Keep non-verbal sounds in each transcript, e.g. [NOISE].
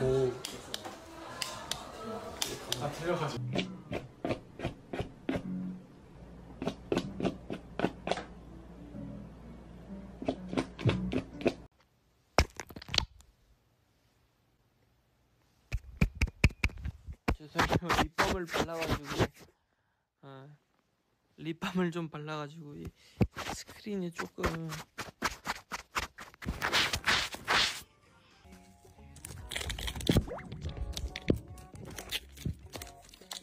고. 아 틀려가지고. 죄송해요 [LAUGHS] 립밤을 발라가지고 어, 립밤을 좀 발라가지고 이 스크린이 조금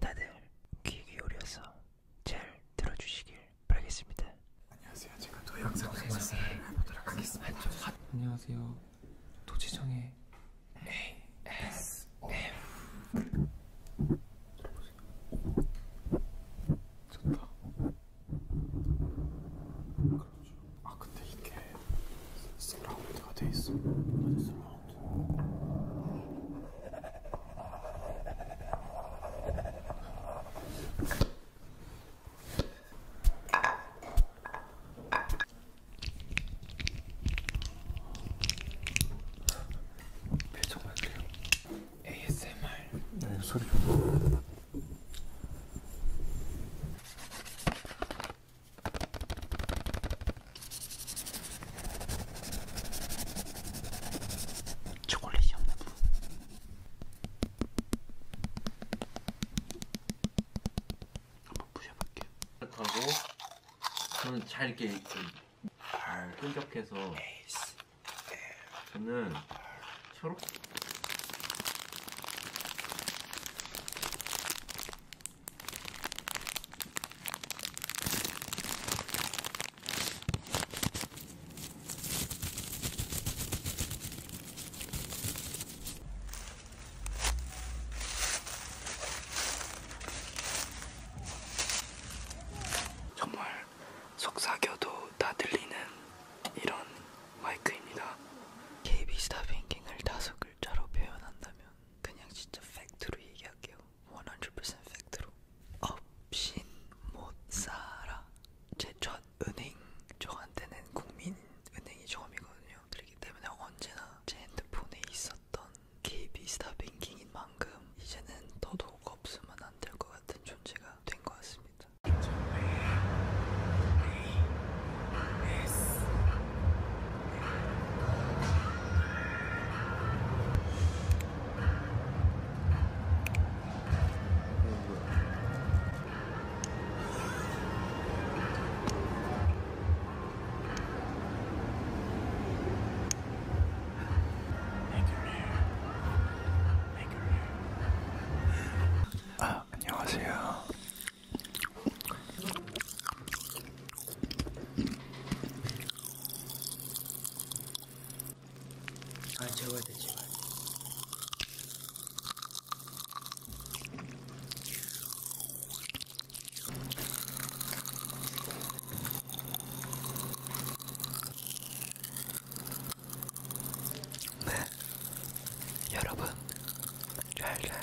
다들 귀 기울여서 잘 들어주시길 바라겠습니다. 안녕하세요. 제가 도영상 말씀을 네, 해보도록 하겠습니다. 아, 안녕하세요. 도지정의 ASM 좋다. 아 근데 이게 서라운드가 돼 있어. 맞아 네. 서라운드. 표정할게요. ASMR. 네, 소리 좀. 초콜릿이 없나 봐. 한번 부셔볼게요. 하고 저는 잘 이렇게 잘 끈적해서 저는 초록 정말 속삭여도 다 들리는 이런 마이크입니다. KB 스타뱅킹을 다섯 글자로 표현한다면 그냥 진짜 팩트로 얘기할게요. 100% 팩트로 없인 못 살아 제 첫 은행 저한테는 국민은행이 처음이거든요 그렇기 때문에 언제나 제 핸드폰에 있었던 KB스타 뱅킹인 만큼 이제는 더더욱 없으면 안 될 것 같은 존재가 된 것 같습니다 아, 안녕하세요. 아 재워야 돼 제발 네 여러분 잘잘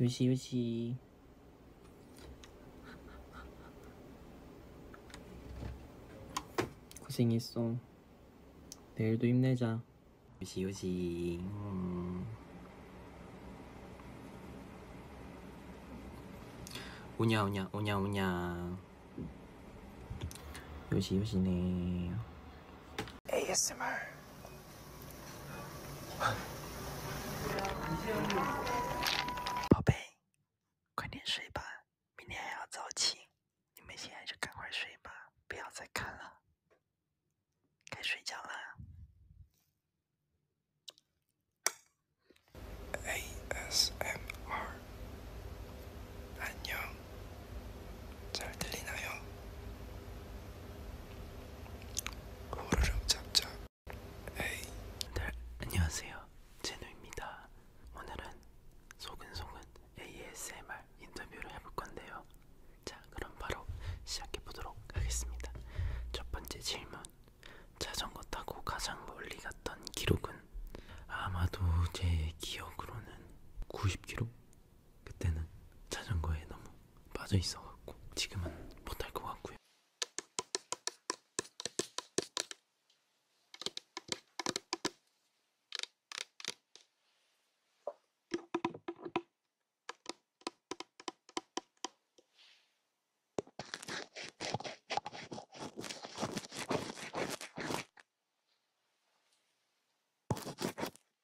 요시 요시 요시 고생했어 내일도 힘내자 요시 요시 음. 오냐 오냐 오냐 오냐 요시 요시네 ASMR，宝贝，快点睡吧，明天还要早起。你们现在就赶快睡吧，不要再看了，该睡觉了。ASMR，安妞。잘 들리나요? 호르륵 잡잡 에이 네, 안녕하세요 제노입니다 오늘은 소근소근 ASMR 인터뷰를 해볼 건데요 자 그럼 바로 시작해 보도록 하겠습니다 첫 번째 질문 자전거 타고 가장 멀리 갔던 기록은 아마도 제 기억으로는 90km? 그때는 자전거에 너무 빠져 있어갖고 지금은 못할 것 같고요.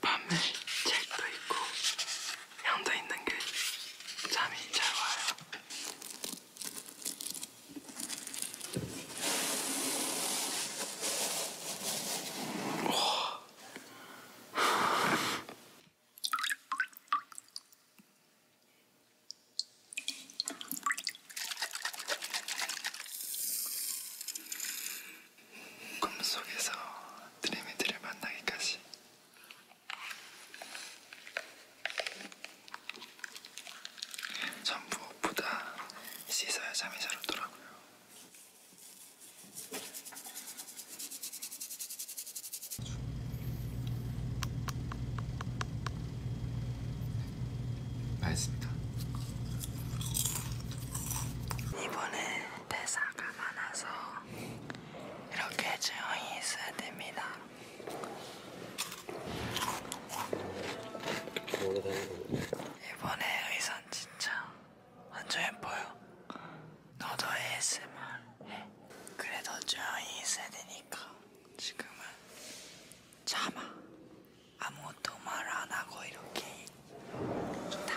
밤에 책도 있고 향도 있는 게 잠이 잘 와요. 꿈속에서 드림이들을 만나기까지 전 무엇보다 씻어야 잠이 잘 오더라고요. 맛있습니다. 이분은 대사가 많아서 이렇게 조용히 있어야 됩니다. 이번에 의상 진짜 완전 예뻐요. 너도 ASMR 해. 그래도 조용히 있어야 되니까 지금은 참아. 아무것도 말 안 하고 이렇게 있다.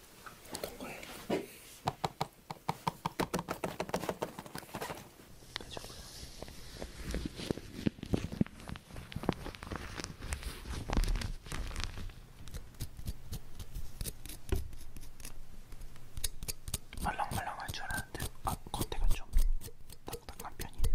어떤 거예요? 해주고요. 말랑말랑할 줄 알았는데 아, 겉에가 좀 딱딱한 편이네요.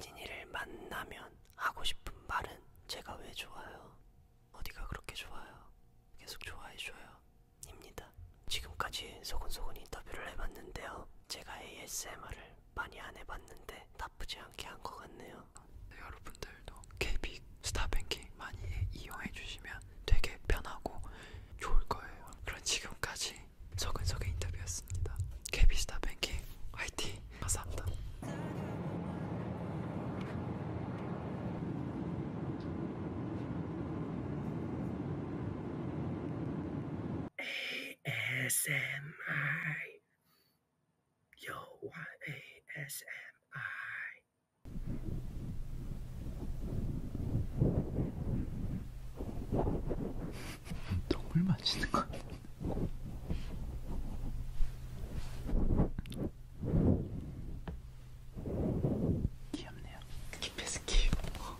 진이를 만나면 하고 싶은 말은 제가 왜 좋아요? 어디가 그렇게 좋아요? 계속 좋아해줘요. 입니다. 지금까지 소곤소곤 인터뷰를 해봤는데요. 제가 ASMR을 많이 안 해봤는데 나쁘지 않게 한 것 같네요. 네, 여러분들도 KBIC 스타뱅킹 많이 이용해주시면 되게 편하고 좋을 거예요. 그럼 지금까지 소근소근 인터뷰였습니다. KBIC 스타뱅킹 화이팅! 감사합니다. ASMR 여와 ASMR 똥을 마시는 것 같아. 귀엽네요. 키패스키. 어.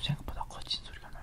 생각보다 거친 소리가 나요.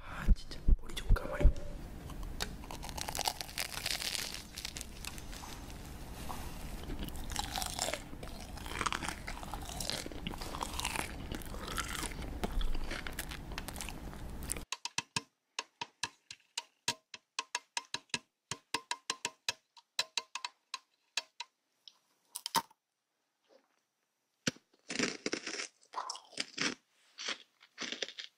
아 진짜 머리 좀 감아요.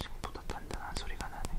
생보다 단단한 소리가 나네.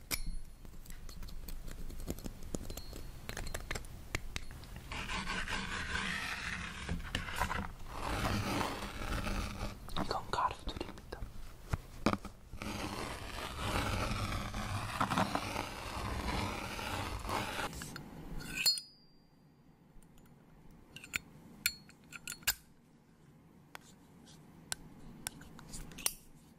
이건 가루들입니다.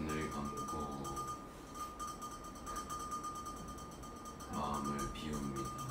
눈을 감고 마음을 비웁니다.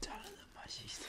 자르는 맛이 있어요.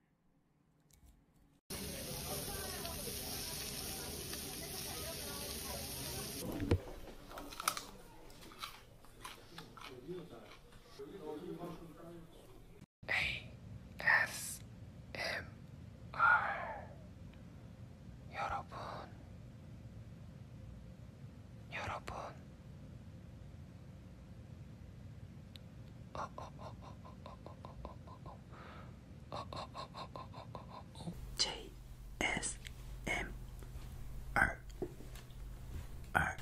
여러분 JSMR R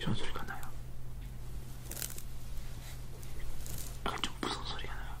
이런 소리가 나요. 약간 좀 무서운 소리가 나요.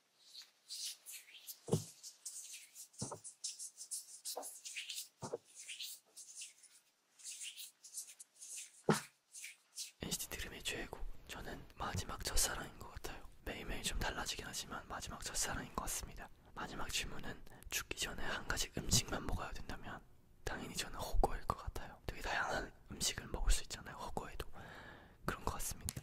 NCT 드림의 최애곡 저는 마지막 첫사랑인 것 같아요. 매일매일 좀 달라지긴 하지만 마지막 첫사랑인 것 같습니다. 마지막 질문은 죽기 전에 한 가지 음식만 먹어야 된다면 당연히 저는 호구일 것 같아요. 되게 다양한 음식을 먹을 수 있잖아요. 호구에도 그런 것 같습니다.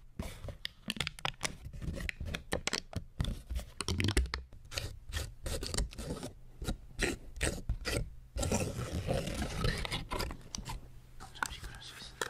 잘 익을 수 있습니다.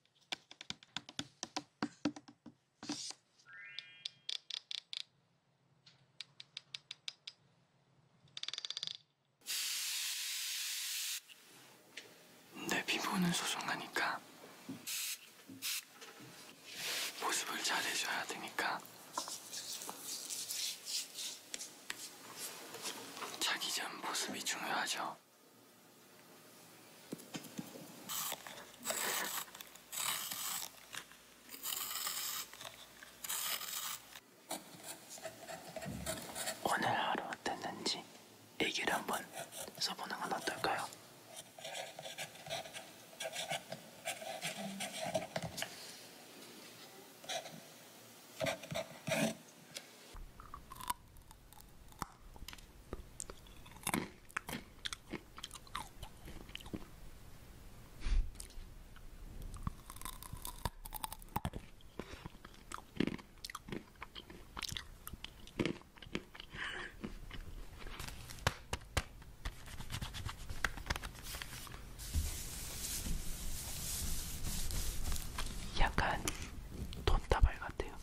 내 피부는 소중하니까 보습을 잘 해줘야 되니까 자기 전 보습이 중요하죠. 오늘 하루 어땠는지 얘기를 한번 써보는 건 어떨까요? 약간 돈다발 같아요.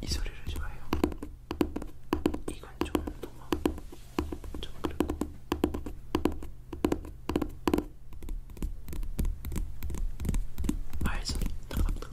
이 소리를 좋아해요. 이건 좀 너무 좀 그렇고. 알 소리 딱딱딱.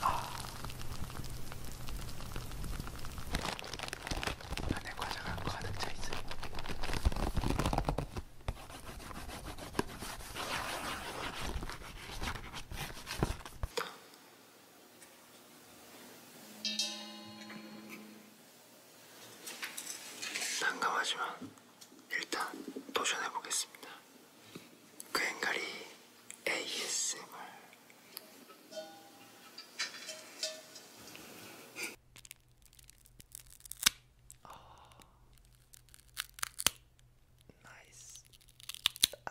아. 안에 과자가 가득 차 있어요. 난감하지만 일단 도전해 보겠습니다. 꽹가리 그 ASMR. 아, 나이스. 아.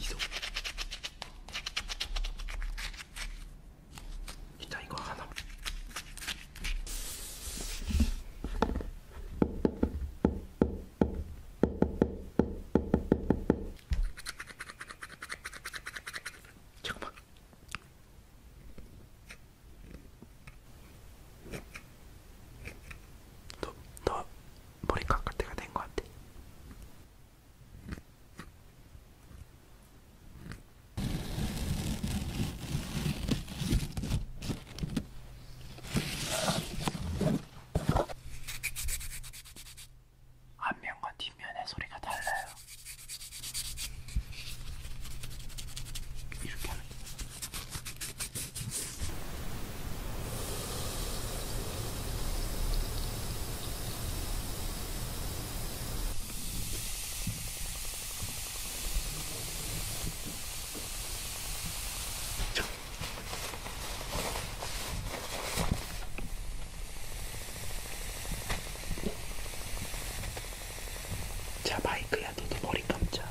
이동. 일단 이거 하나. 잠깐만. 너, 너 머리 깎을 때가 된 것 같아. 앞면과 뒷면의 소리가 달라요. 이렇게 하면 됩니다. 자 마이크 야 너도 머리 감자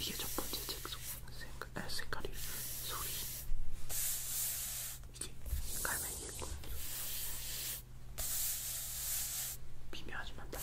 이게 첫 번째 책 속. 색깔, 아, 색깔이 소리 이게 갈매기고 미묘하지만 달라.